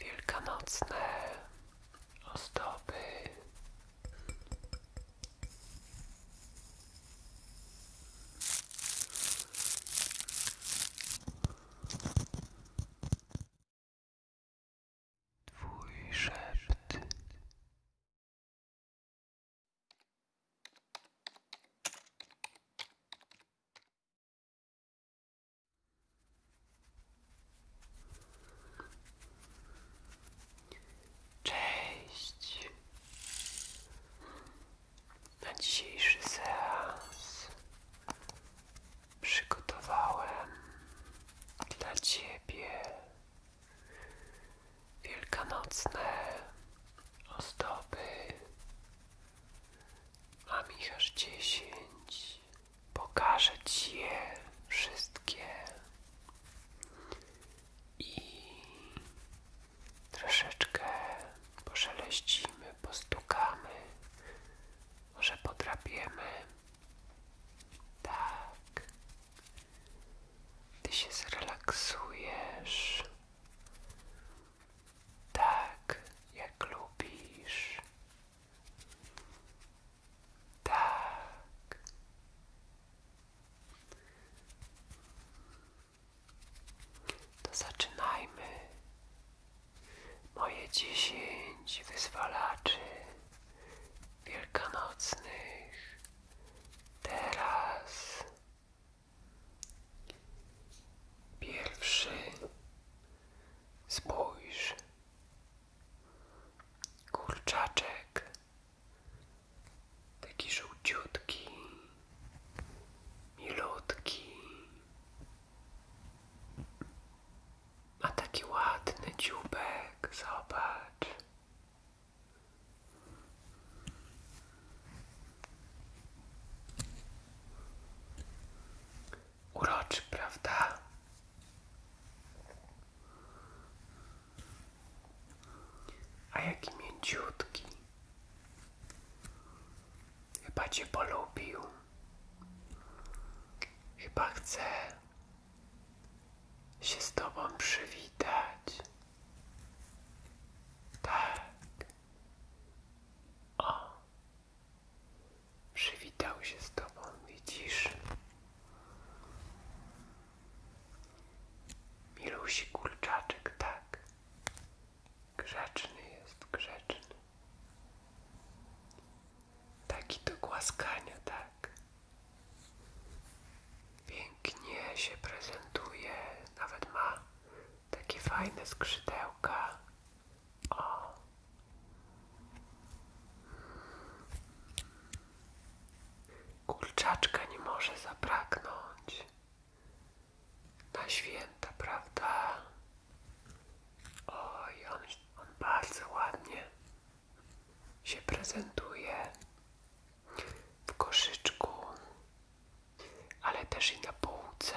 wielkanocne ozdoby. Twój szept. Cześć. Na dzisiejszy seans przygotowałem dla Ciebie wielkanocne ozdoby a Michał dziesięć. Pokażę ci je wszystkie i troszeczkę poszeleścimy, postukamy, może podrabiamy. Tak. Ty się zrelaksujesz tak jak lubisz. Tak. To zaczynajmy. Moje dziesięć wyzwalaczy wielkanocnych teraz. Pierwszy Spójrz. Kurczaczek. Taki żółciutki. Milutki. A taki ładny dziubek. Zobacz. Uroczy, prawda? A jaki mięciutki. Chyba cię polubił. się z tobą przywitać. Tak. O, Przywitał się z tobą, widzisz? Milusi kurczaczek, tak. Grzeczny jest, grzeczny. Taki do głaskania, tak. Pięknie się prezentuje, nawet ma takie fajne skrzydełka. O. nie może zabraknąć. Na święta, prawda? Oj, on, on bardzo ładnie się prezentuje w koszyczku ale też i na półce.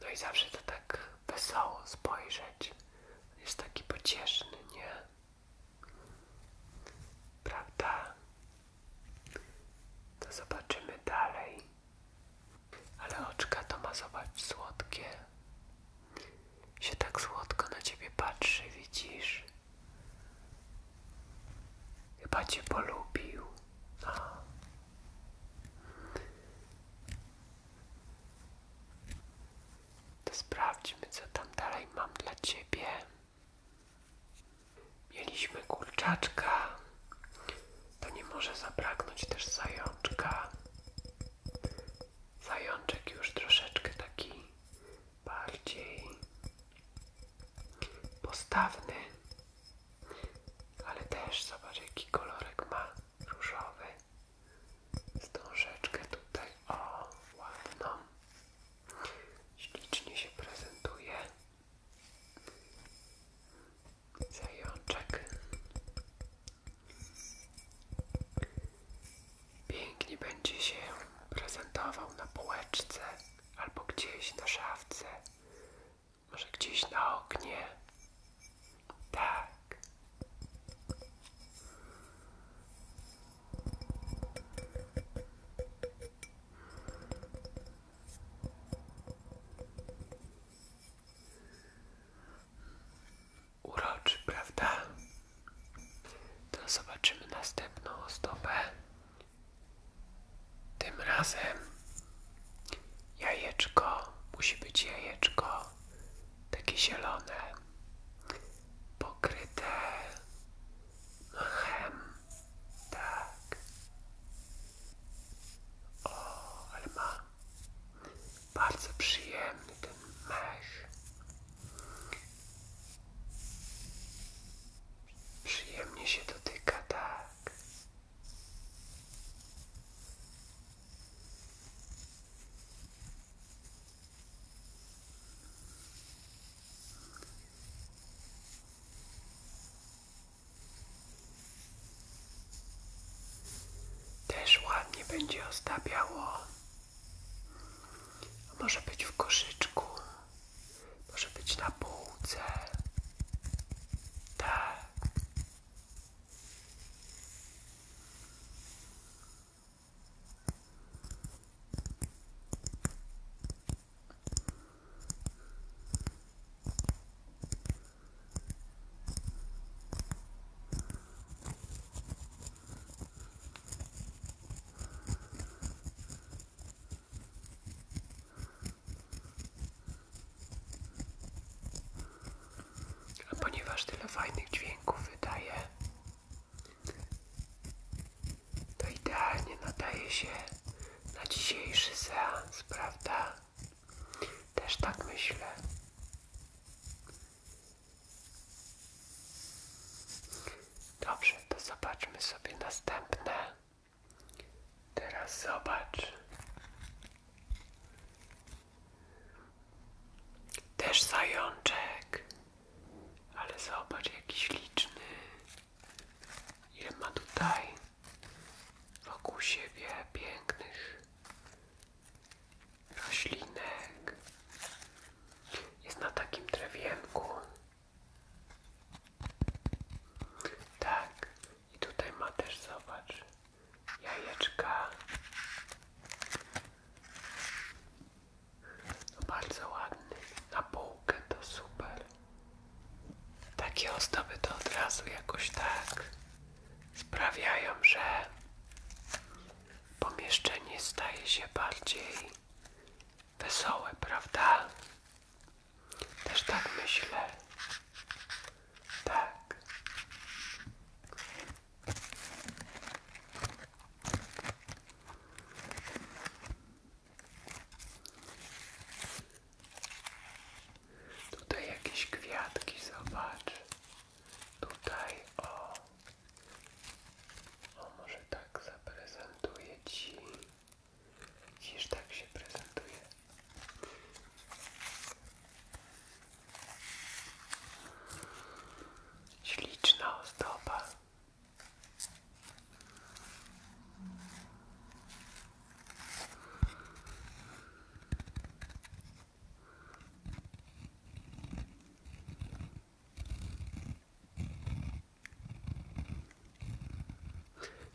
No i zawsze to tak wesoło spojrzeć. Jest taki pocieszny, nie? Prawda? To zobaczymy dalej. Ale oczka to ma zobacz słodkie. Się tak słodko na ciebie patrzy, widzisz? Chyba cię polubił. No. To sprawdźmy, co tam dalej mam dla ciebie. Mieliśmy kurczaczka. To nie może zabraknąć też zajączka. Zajączek już troszeczkę taki bardziej postawny, ale też zobacz jaki kolorek ma różowy. Stążeczkę tutaj, o ładną, ślicznie się prezentuje. Zajączek. Pięknie będzie się prezentował na półeczce albo gdzieś na szafce, może gdzieś na oknie. Tak. Uroczy, prawda? To zobaczymy następną ozdobę. Tym razem jajeczko musi być jajeczko takie zielone, pokryte mchem. Tak. O, ale ma bardzo przyjemny ten mech. Przyjemnie się dotyka, tak. Też ładnie będzie ostawiało no, może być w koszyczku, może być na półce. Tak. A ponieważ tyle fajnych dźwięków wydaje, to idealnie nadaje się na dzisiejszy seans, prawda? Też tak myślę. Dobrze, to zobaczmy sobie następne. Teraz zobacz. Też zajączek. Ale zobacz, jakiś liczny. Ile ma tutaj wokół siebie pięknych roślinek. Jest na takim drewienku. Tak. I tutaj ma też, zobacz, jajeczka. No bardzo ładny. Na półkę to super. Takie ozdoby to od razu jakoś tak sprawiają, że pomieszczenie staje się bardziej Wesołe, prawda? Też tak myślę. Tak. Tutaj jakieś kwiatki, zobacz. Tutaj, o. O, może tak zaprezentuje Ci. Widzisz, tak się prezentuje. Śliczna ozdoba.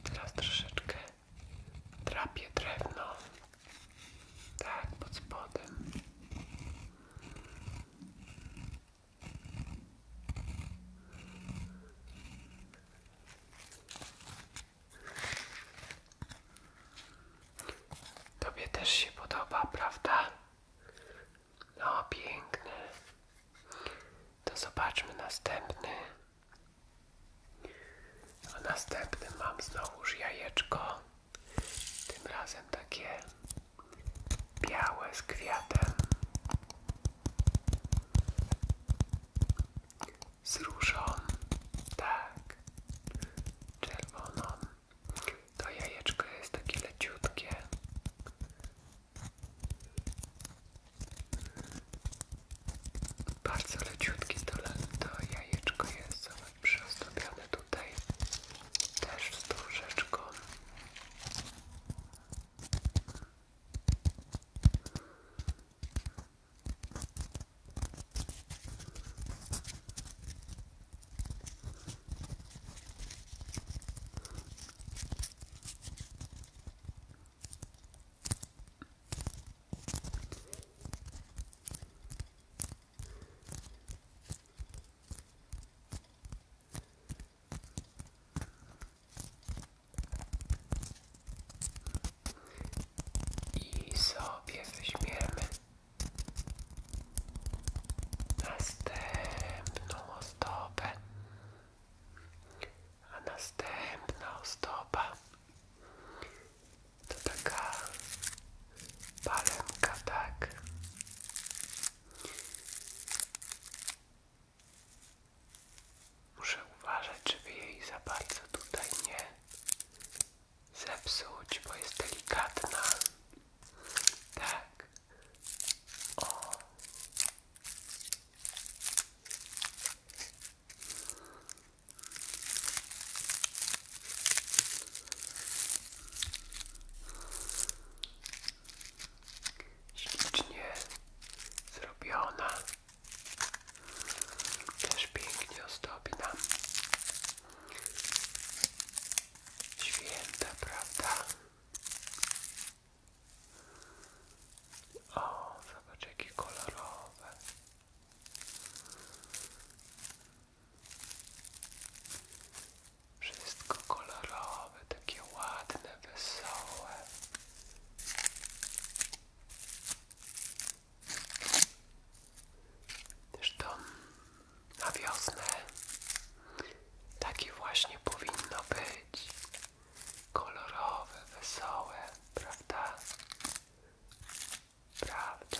Teraz troszeczkę trapię drewno. Tak, pod spodem. Tobie też się podoba, prawda? No, piękny. To zobaczmy następny. A następnym mam znowuż jajeczko. Tym razem takie białe z kwiatem. Z tak, czerwoną. To jajeczko jest takie leciutkie. Bardzo leciutki to, to jajeczko jest, zobacz, tutaj też z tą i sobie weźmiemy następną ozdobę, a następna ozdoba to taka palemka, tak? Muszę uważać, żeby jej za bardzo tutaj nie zepsuć, bo jest delikatna. Tak. O. zrobiona. Też pięknie ozdobna. Święta, prawda? O, zobacz jakie kolorowe. Wszystko kolorowe, takie ładne, wesołe. Zresztą na wiosnę takie właśnie powinno być. Kolorowe, wesołe, prawda? Prawda.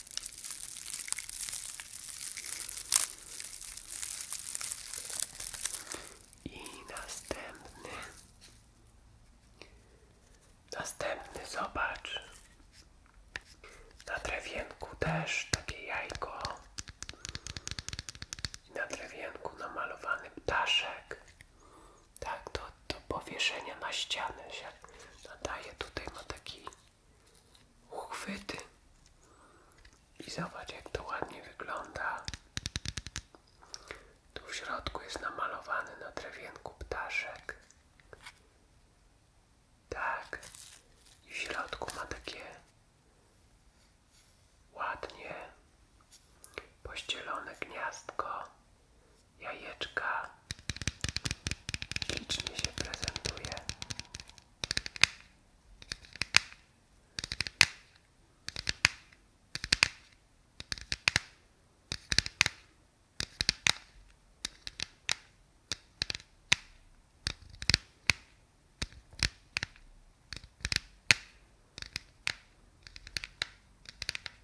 I następny. Następny zobacz. Na drewienku też takie jajko. I na drewienku namalowany ptaszek. Tak, do, do powieszenia na ścianę się nadaje. Tutaj ma taki uchwyty i zobacz jak to ładnie wygląda. Tu w środku jest namalowany na drewienku ptaszek. Tak. I w środku ma takie ładnie pościelone gniazdko jajeczka licznie się prezentuje.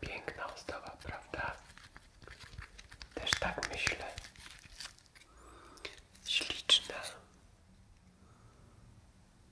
Piękna ustawa, prawda? Też tak myślę. Śliczna.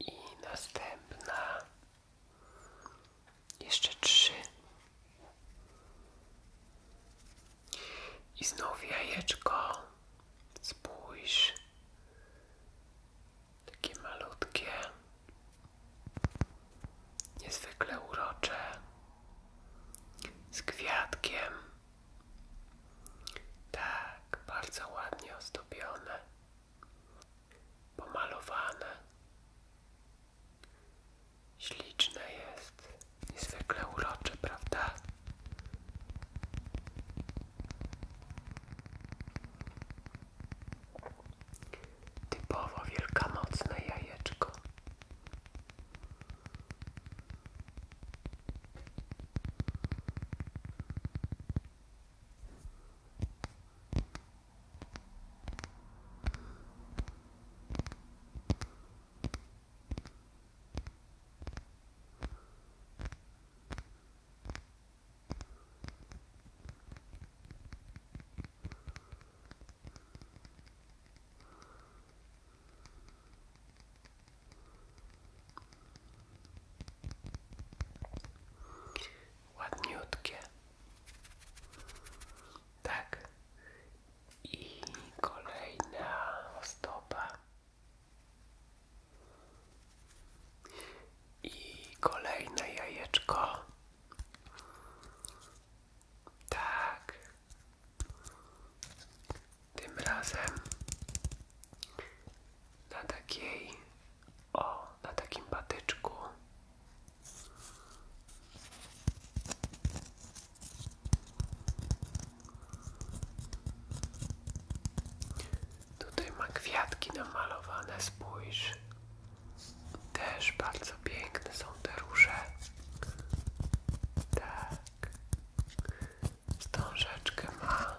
I następna. Jeszcze trzy. I znowu jajeczko. Spójrz takie malutkie, niezwykle urocze, z gwiazdkiem, Tak, bardzo ładnie ozdobione, pomalowane. Śliczne jest, niezwykle urocze, prawda? Typowo wielkanocne jajeczko. Ładniutkie. Tak. I kolejna stopa. I kolejne jajeczko. Tak. Tym razem na takiej, o, na takim patyczku. Tutaj ma kwiatki namalowane, spójrz. Też bardzo piękne są te róże. Tak. Stążeczkę ma.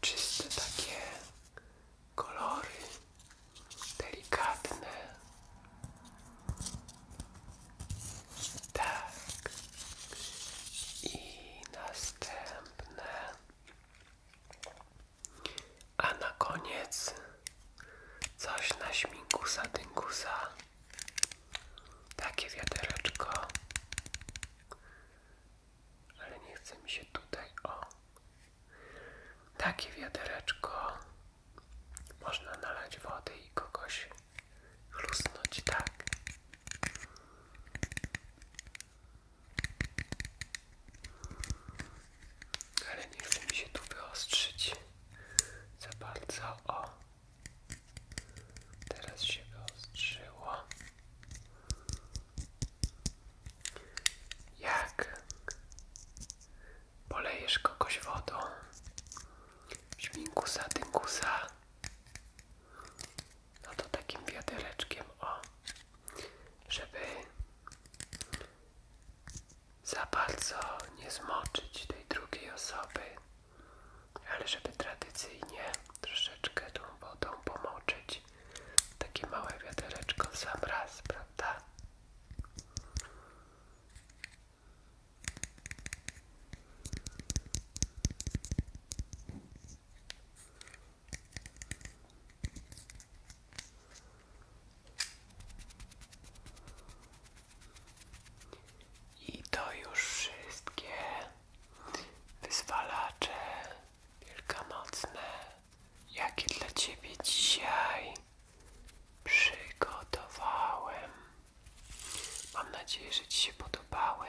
Czyste takie kolory delikatne. Tak. I następne. A na koniec coś na śmigusa dyngusa. Takie wiadereczko. Ale nie chce mi się tutaj, o. Takie wiadereczko. Można nalać wody i kogoś chlusnąć, tak. Ale nie chce mi się tu wyostrzyć za bardzo. O, teraz się wyostrzyło. Jak polejesz kogoś wodą, śminkusa, tynkusa, no to takim wiadereczkiem, o żeby za bardzo nie zmoczyć tej drugiej osoby, ale żeby tradycyjnie troszeczkę tą wodą pomoczyć. Takie małe wiadereczko w sam raz, prawda? I to już wszystkie wyzwalacze wielkanocne, jakie dla Ciebie dzisiaj przygotowałem. Mam nadzieję, że Ci się podobały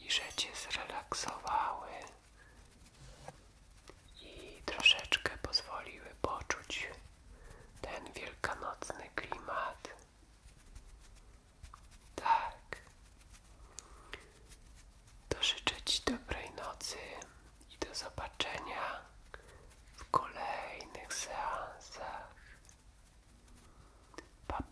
i że Cię zrelaksowały i troszeczkę pozwoliły poczuć ten wielkanocny klimat. Tak. To życzę Ci dobrej nocy i do zobaczenia w kolejnych seansach. Pa,